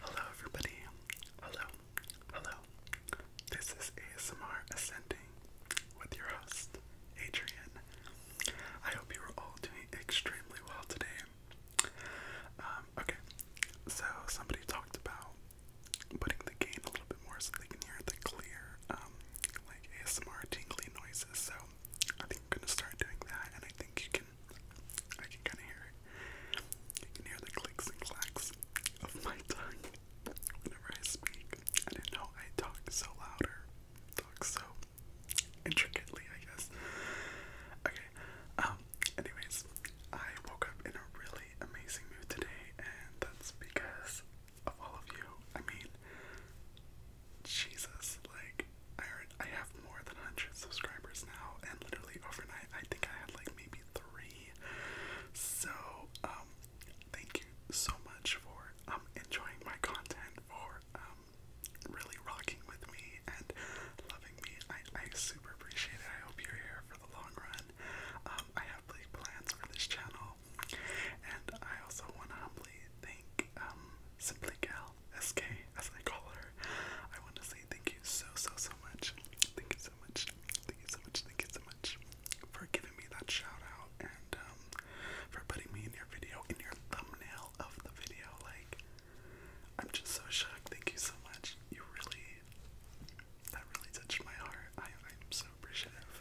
Hello, everybody. Hello, hello. This is ASMR Ascending with your host, Adrian. I hope you are all doing extremely well today. Um, okay, so somebody talked about putting the gain a little bit more so they can hear the clear, um, like ASMR tingly noises. So I am gonna start doing that, and I think you I can kinda hear it. You can hear the clicks and clacks of my tongue whenever I speak. I didn't know I talk so loud or so intricately, I guess. Okay. Um, anyways, I woke up in a really amazing mood today and that's because of all of you. I mean Jesus, like I I have more than 100 subscribers now, and literally overnight, I think I had like maybe three. So, um, thank you so much for um enjoying my content, for um really rocking with me and loving me. I I super appreciate it. I hope you're here for the long run. Um, I have big plans for this channel, and I also want to humbly thank um Simply Gal SK, as I call her, I want to say thank you so, so, so much. Thank you so much. Thank you so much. Thank you so much for giving me that shout out and um, for putting me in your video, in your thumbnail of the video. Like, I'm just so shocked. Thank you so much. You really, that really touched my heart. I, I'm so appreciative.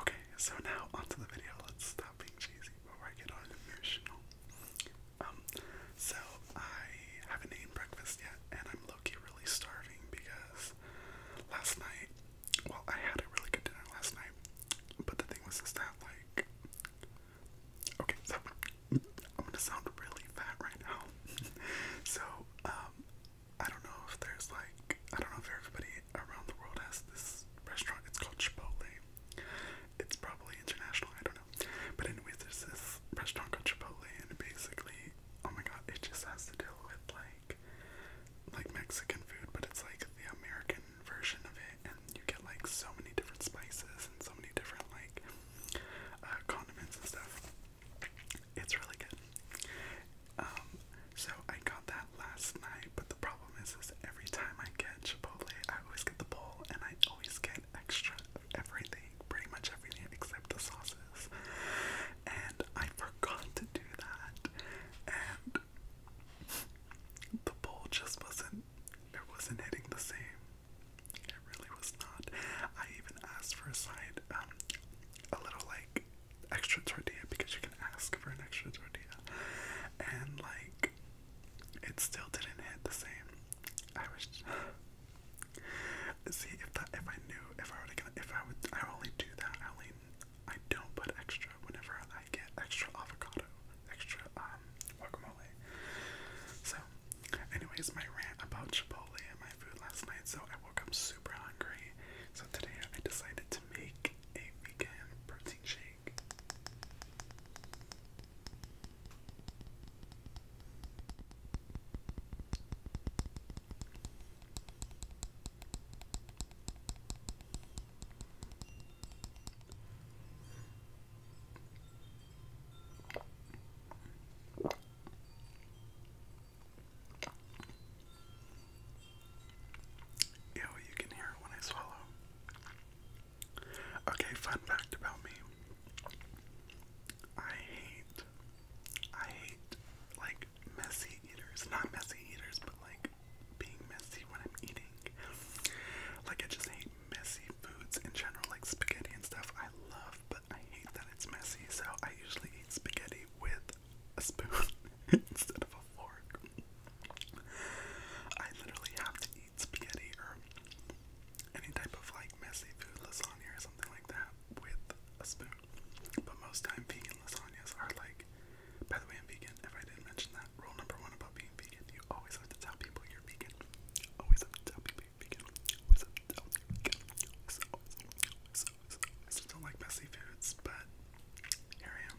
Okay, so now onto the video. Let's stop being cheesy before I get all emotional. Um, so I haven't eaten breakfast yet, and I'm low really starving because last night, well, I had a really good dinner last night, but the thing was is that, like, okay, I'm gonna sound really fat right now. so, um, I don't know if there's, like, I don't know if everybody around the world has this restaurant. It's called Chipotle. It's probably international, I don't know. But anyways, there's this restaurant called Chipotle and basically oh my god, it just has to deal with like like Mexican food, but it's like the American version of it and you get like so many different spices and so many different like uh, condiments and stuff. It's really good. Um, so I got that last night, but the problem problem is, every time I get Chipotle, I always get the bowl and I always get extra of everything, pretty much everything except the sauces. And I forgot to do that. And the bowl just wasn't it wasn't hitting the same. It really was not. I even asked for a side, um, a little like extra tortilla because you can ask for an extra tortilla. And like it still didn't hit the same. I was see if that if I knew if I were to if I would I only do that I only I don't put extra whenever I get extra avocado extra um guacamole. So, anyways, my rant about Chipotle and my food last night. So I woke up super hungry. So today I decided to make a vegan protein shake think. you can hear it when I swallow. Okay, fun fact about me. I hate, I hate like messy eaters. Not messy eaters, but like being messy when I'm eating. Like I just hate messy foods in general, like spaghetti and stuff. I love, but I hate that it's messy. So I usually eat spaghetti with a spoon. instead of a fork. I literally have to eat spaghetti or any type of like messy food, lasagna or something like that, with a spoon. But most time, vegan lasagnas are like. By the way, I'm vegan. If I didn't mention that, rule number one about being vegan: you always have to tell people you're vegan. Always have to tell people you vegan. Always have to tell people vegan. I still don't like messy foods, but here I am.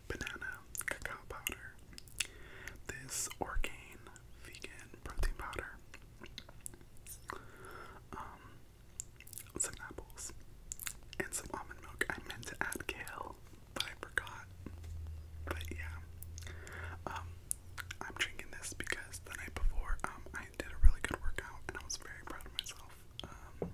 banana cacao powder, this Orgain vegan protein powder, um, some apples, and some almond milk. I meant to add kale, but I forgot. But yeah, um, I'm drinking this because the night before, um, I did a really good workout and I was very proud of myself. Um,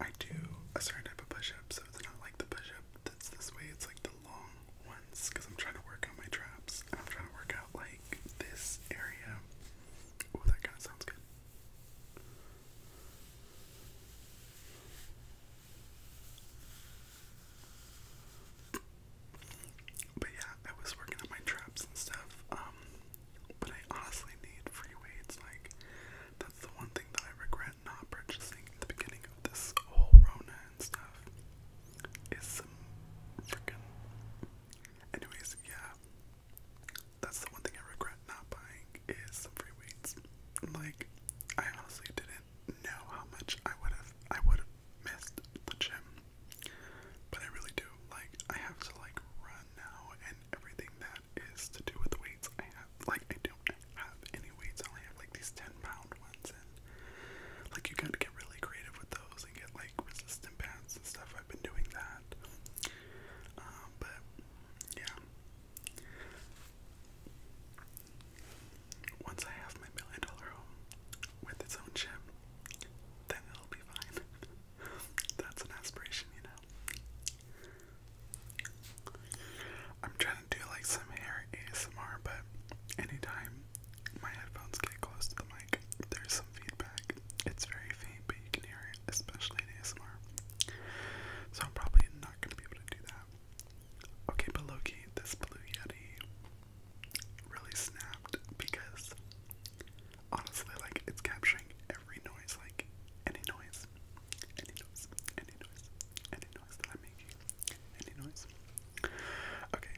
I do a certain type of push up, so it's not like the push up that's this way. It's like the long ones because I'm trying to work out my traps. And I'm trying to work out like this area. Oh, that kind of sounds good. But yeah, I was working on my traps and stuff. Um, but I honestly need free weights. Like, the one thing that I regret not purchasing at the beginning of this whole Rona and stuff. Is some freaking. Anyways, yeah. That's the one thing I regret not buying is some free weights. Like, I honestly didn't know how much I would have I would have missed the gym. But I really do. Like I have to like run now and everything that that is to do with the weights I have. Like, I don't have any weights, I only have like these 10 pound ones, and like, you gotta get really creative with those and get like resistant bands and stuff. I've been doing that, um, but yeah. Once I have my million dollar home with its own gym, then it'll be fine. That's an aspiration, you know. I'm trying to do like some hair ASMR, but anytime my headphones get close to the mic, there's some feedback. It's very faint, but you can hear it, especially in ASMR. So I'm probably not gonna be able to do that. Okay, but Loki, this blue yeti really snapped because honestly, like it's capturing every noise, like any noise any noise, any noise, any noise that I'm making, any noise. Okay,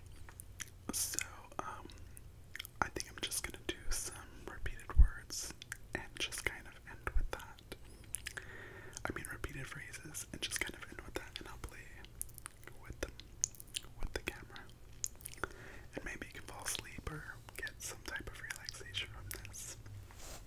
so um, I think I'm just gonna do some repeated words and just kind of end with that. I mean, repeated phrases and just kind of end with that, and I'll play with them, with the camera. And maybe you can fall asleep or get some type of relaxation from this.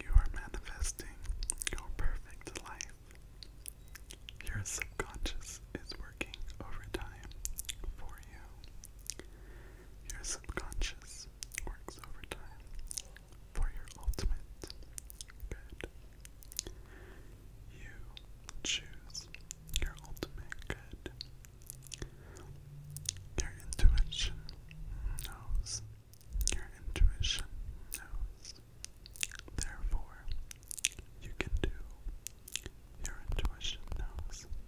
You are manifesting your perfect life. Your subconscious is working overtime for you. Your subconscious works overtime for your ultimate good. You choose your ultimate good. Your intuition knows. Your intuition knows. Therefore, you can do. Your intuition knows.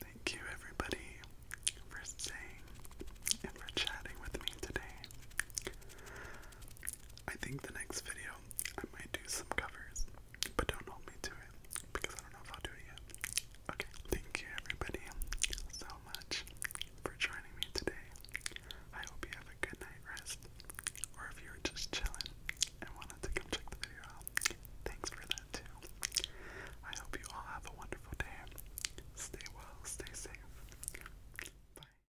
Thank you, everybody, for staying and for chatting with me today. I think the next video I might do some covers, but don't hold me to it because I don't know if I'll do it yet. Okay, thank you everybody so much for joining me today. I hope you have a good night rest, or if you were just chilling and wanted to come check the video out, thanks for that too. I hope you all have a wonderful day. Stay well, stay safe. Bye.